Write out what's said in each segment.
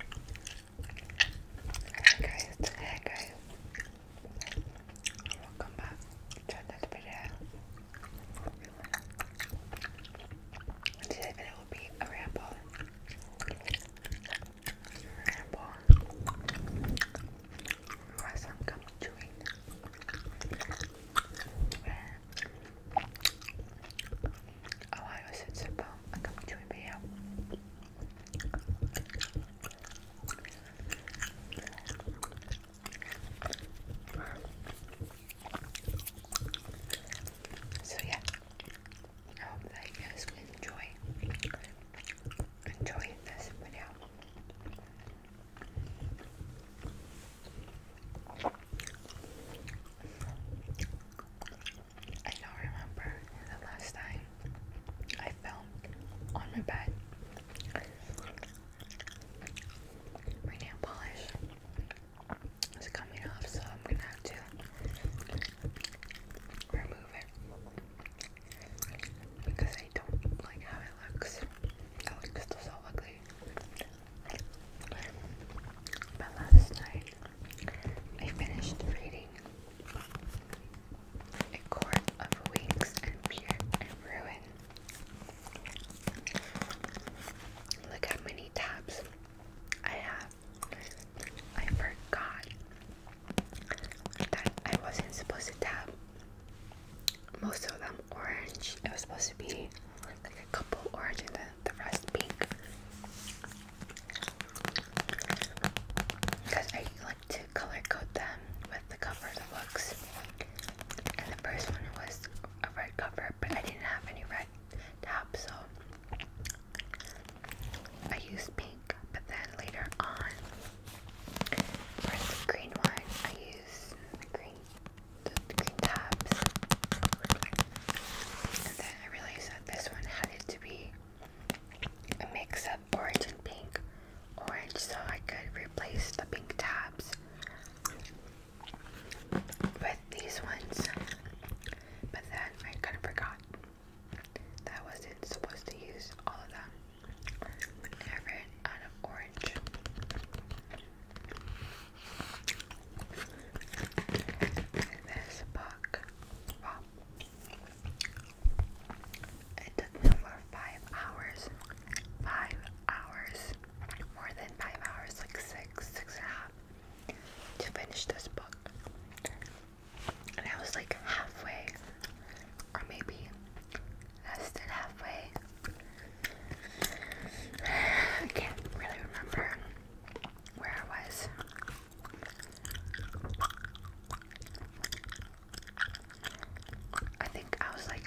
Hi guys, hi guys. Welcome back to another video. Today's video will be a ramble. Ramble. Or some gum chewing. Ohio so I come to him So yeah, I hope oh, that you guys can enjoy enjoy this video. I don't remember the last time I fell on my bed. My nail polish is coming off, so I'm gonna have to remove it because I don't like how it looks. It looks so ugly. But last night I finished reading A Court of Wings and Pure Ruin. Look how many tabs I have. I forgot that I wasn't supposed to tab most of them orange. It was supposed to be like a couple orange and the rest pink. Because I like to color code them with the cover of books. And the first one was a red cover, but I didn't have any red top, so I used pink. But then later on, for the green one, I used the green, the green tabs. I realized that this one had to be a mix of orange and pink orange so I could replace the pink tabs with these ones but then I kind of forgot that I wasn't supposed to use all of them I ran out of orange this book Wow. It took me over five hours. Five hours. More than five hours, like six, six and a half to finish this book. And I was like halfway, or maybe less than halfway. I can't really remember where I was. I think I was like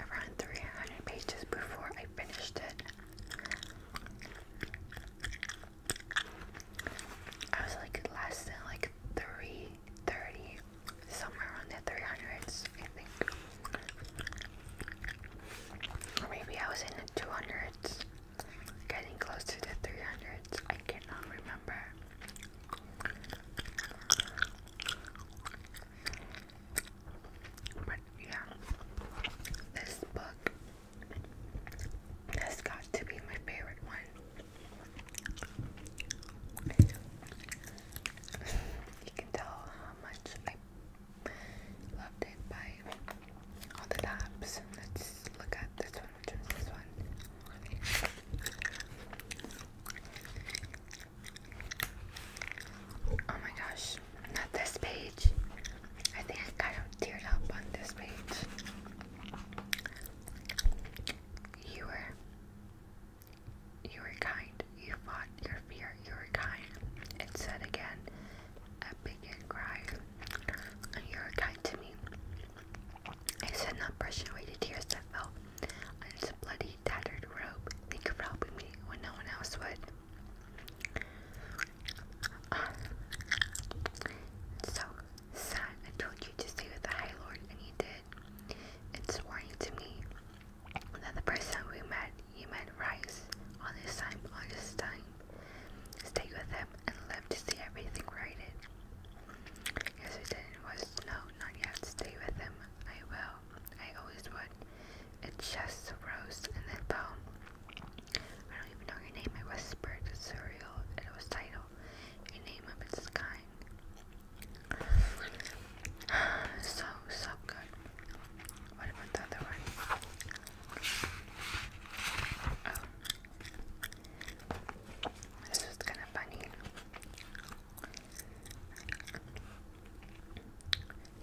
around 300 pages before I finished it. I was like last than like 330, somewhere around the 300s, I think. maybe I was in the 200s. Getting close to the 300s. I cannot remember. But yeah, this book has got to be my favorite one. You can tell how much I Loved it by all the tops. Let's look at this one, which is this one. Oh my gosh, not this page. I think I teared up on this page. You were you were kind. You fought your fear. You were kind. It said again, I began crying. You were kind to me. I said, not brushing away the tears that fell and on his bloody, tattered robe. you of helping me when no one else would. so, son, I told you to stay with the High Lord, and you did. It's warning to me that the person we met, you met Rice on this time, on this time, Stay with him and lived to see everything righted. Yes, I did. It was no, not yet. Stay with them. I will. I always would. It just rose in then fell. I don't even know your name. It was It's surreal. It was title. A name of its kind. so, so good. What about the other one? This is kind of funny.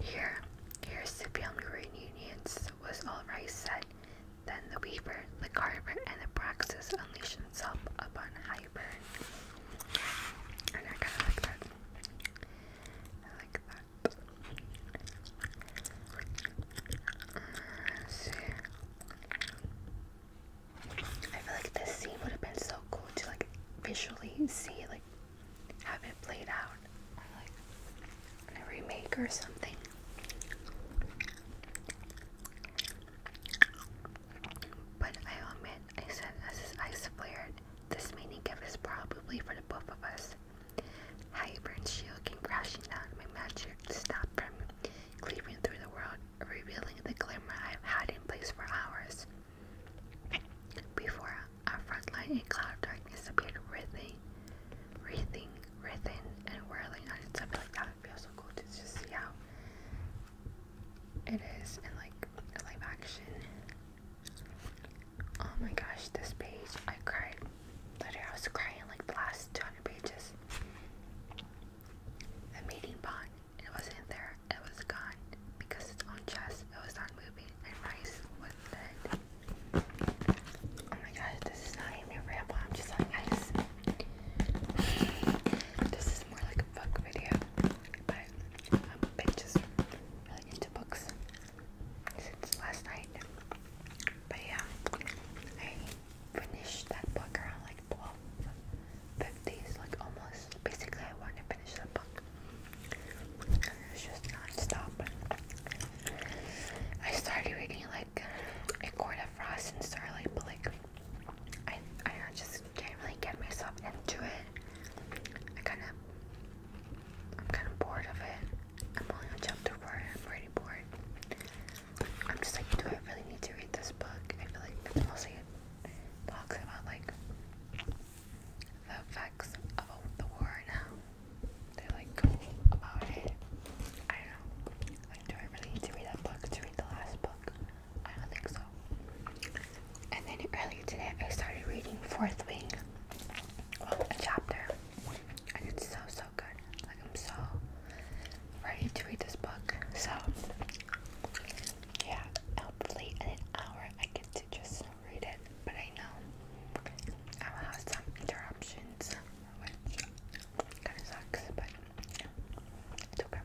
Here, here's the family reunions, was all Rice Then the Weaver, the Carver, and the Praxis unleashed himself upon Highburn. I like that. I feel like this scene would have been so cool to like visually see like have it played out like in a remake or something. But I admit I said as I swear this meaning is probably for the both of us. Hybern's shield came crashing down, my magic snapped from cleaving through the world, revealing the glimmer I've had in place for hours. Before our front line, a cloud of darkness appeared, writhing, writhing, writhing, and whirling on itself like that. It feels so cool to just see how it is in like live action. Oh my gosh, this page, I cried. Literally, I was crying like the last 200 pages. The meeting bond, it wasn't there, it was gone. Because its own chest, it was not moving, and Rice was dead. Oh my gosh, this is not even a ramble, I'm just like, This is more like a book video, but I'm just really into books since last night. But yeah, I finished that book around like 12.50, so like almost, basically I wanted to finish the book. And it's just non I started reading like A Court of Frost and Starlight, but like, I, I just can't really get myself into it. I kind of, I'm kind of bored of it. I'm only on chapter four I'm already bored. I'm just like, do I really need to read this book? I feel like it's mostly it talks about like the effects of the war and how they like go about it. I don't Like, do I really need to read that book to read the last book? I don't think so. And then earlier today, I started reading Fourth Wing, a chapter it's so so good. Like I'm so ready to read this book. So yeah, hopefully in an hour I get to just read it. But I know I will have some interruptions, which kind of sucks. But it's okay.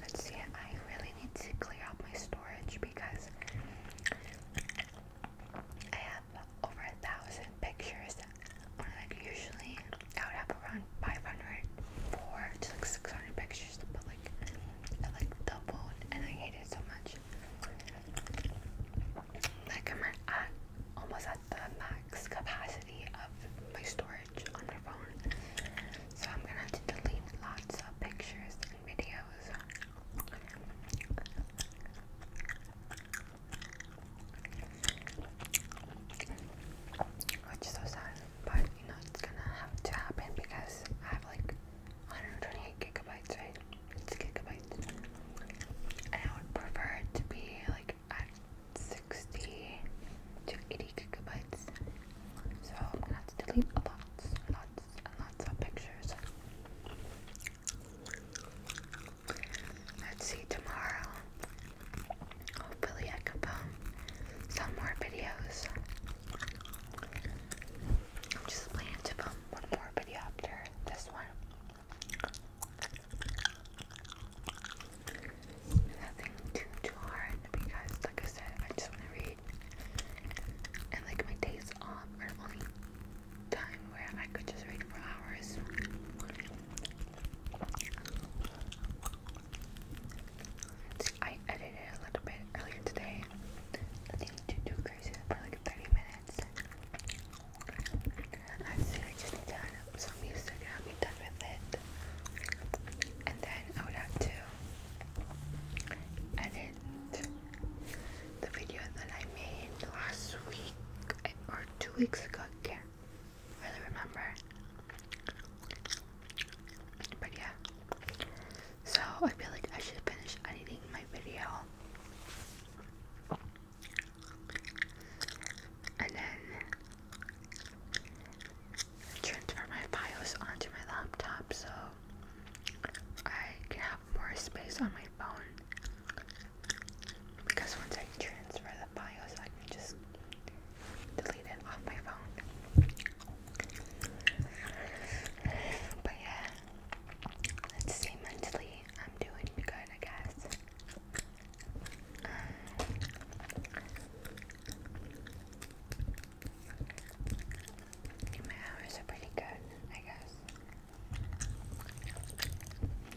Let's see. I really need to clear out my storage because I have over a thousand pictures. usually, I would have around 500, to like 600 pictures, but like I like double, and I hate it so much. Like I'm at almost at the max capacity of my storage on the phone, so I'm gonna have to delete lots of pictures and videos videos. so sad, but you know it's gonna have to happen because I have like 128 gigabytes, right? It's gigabytes. And I would prefer it to be like at 60 to 80 gigabytes. So I'm gonna have to delete lots, lots, lots of pictures. Let's see tomorrow. Hopefully, I can film some more videos. just planning to film one more video after this one. Nothing too too hard because, like I said, I just want to read. And like my days off time where I could just read for hours. I edited a little bit earlier today. Nothing too crazy for like 30 minutes. I am I just done some music and I'll be done with it. And then I would have to edit the video that I made last week eh, or two weeks ago. I can't really remember. But yeah. So I feel like I should finish editing my video. And then transfer my files onto my laptop so I have more space on my phone because once I transfer the files, I can just delete it off my phone. But yeah, let's see. Mentally, I'm doing good, I guess. my hours are pretty good, I guess.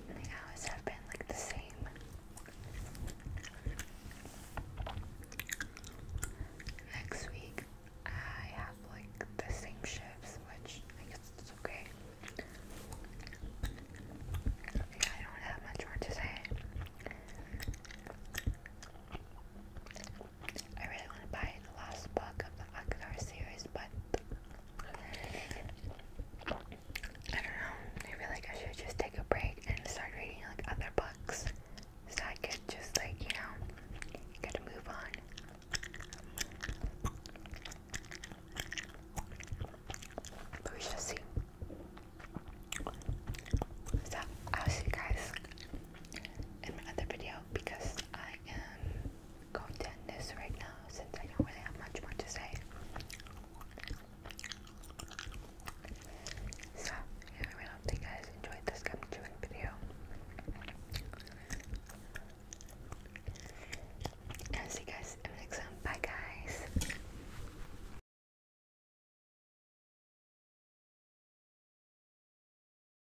They always have been like the same. Next week, I have like the same shifts, which I guess it's okay. I don't have much more to say. I really want to buy the last book of the Akadar series, but I don't know. I feel like I should just take a break and start reading like other books, so I can just like you know, get to move on. But we shall see. So I'll see you guys in my other video because I am go to end this right now since I don't really have much more to say. So, yeah, I really hope you guys enjoyed this gum chewing video. i see guys next one. Bye, guys.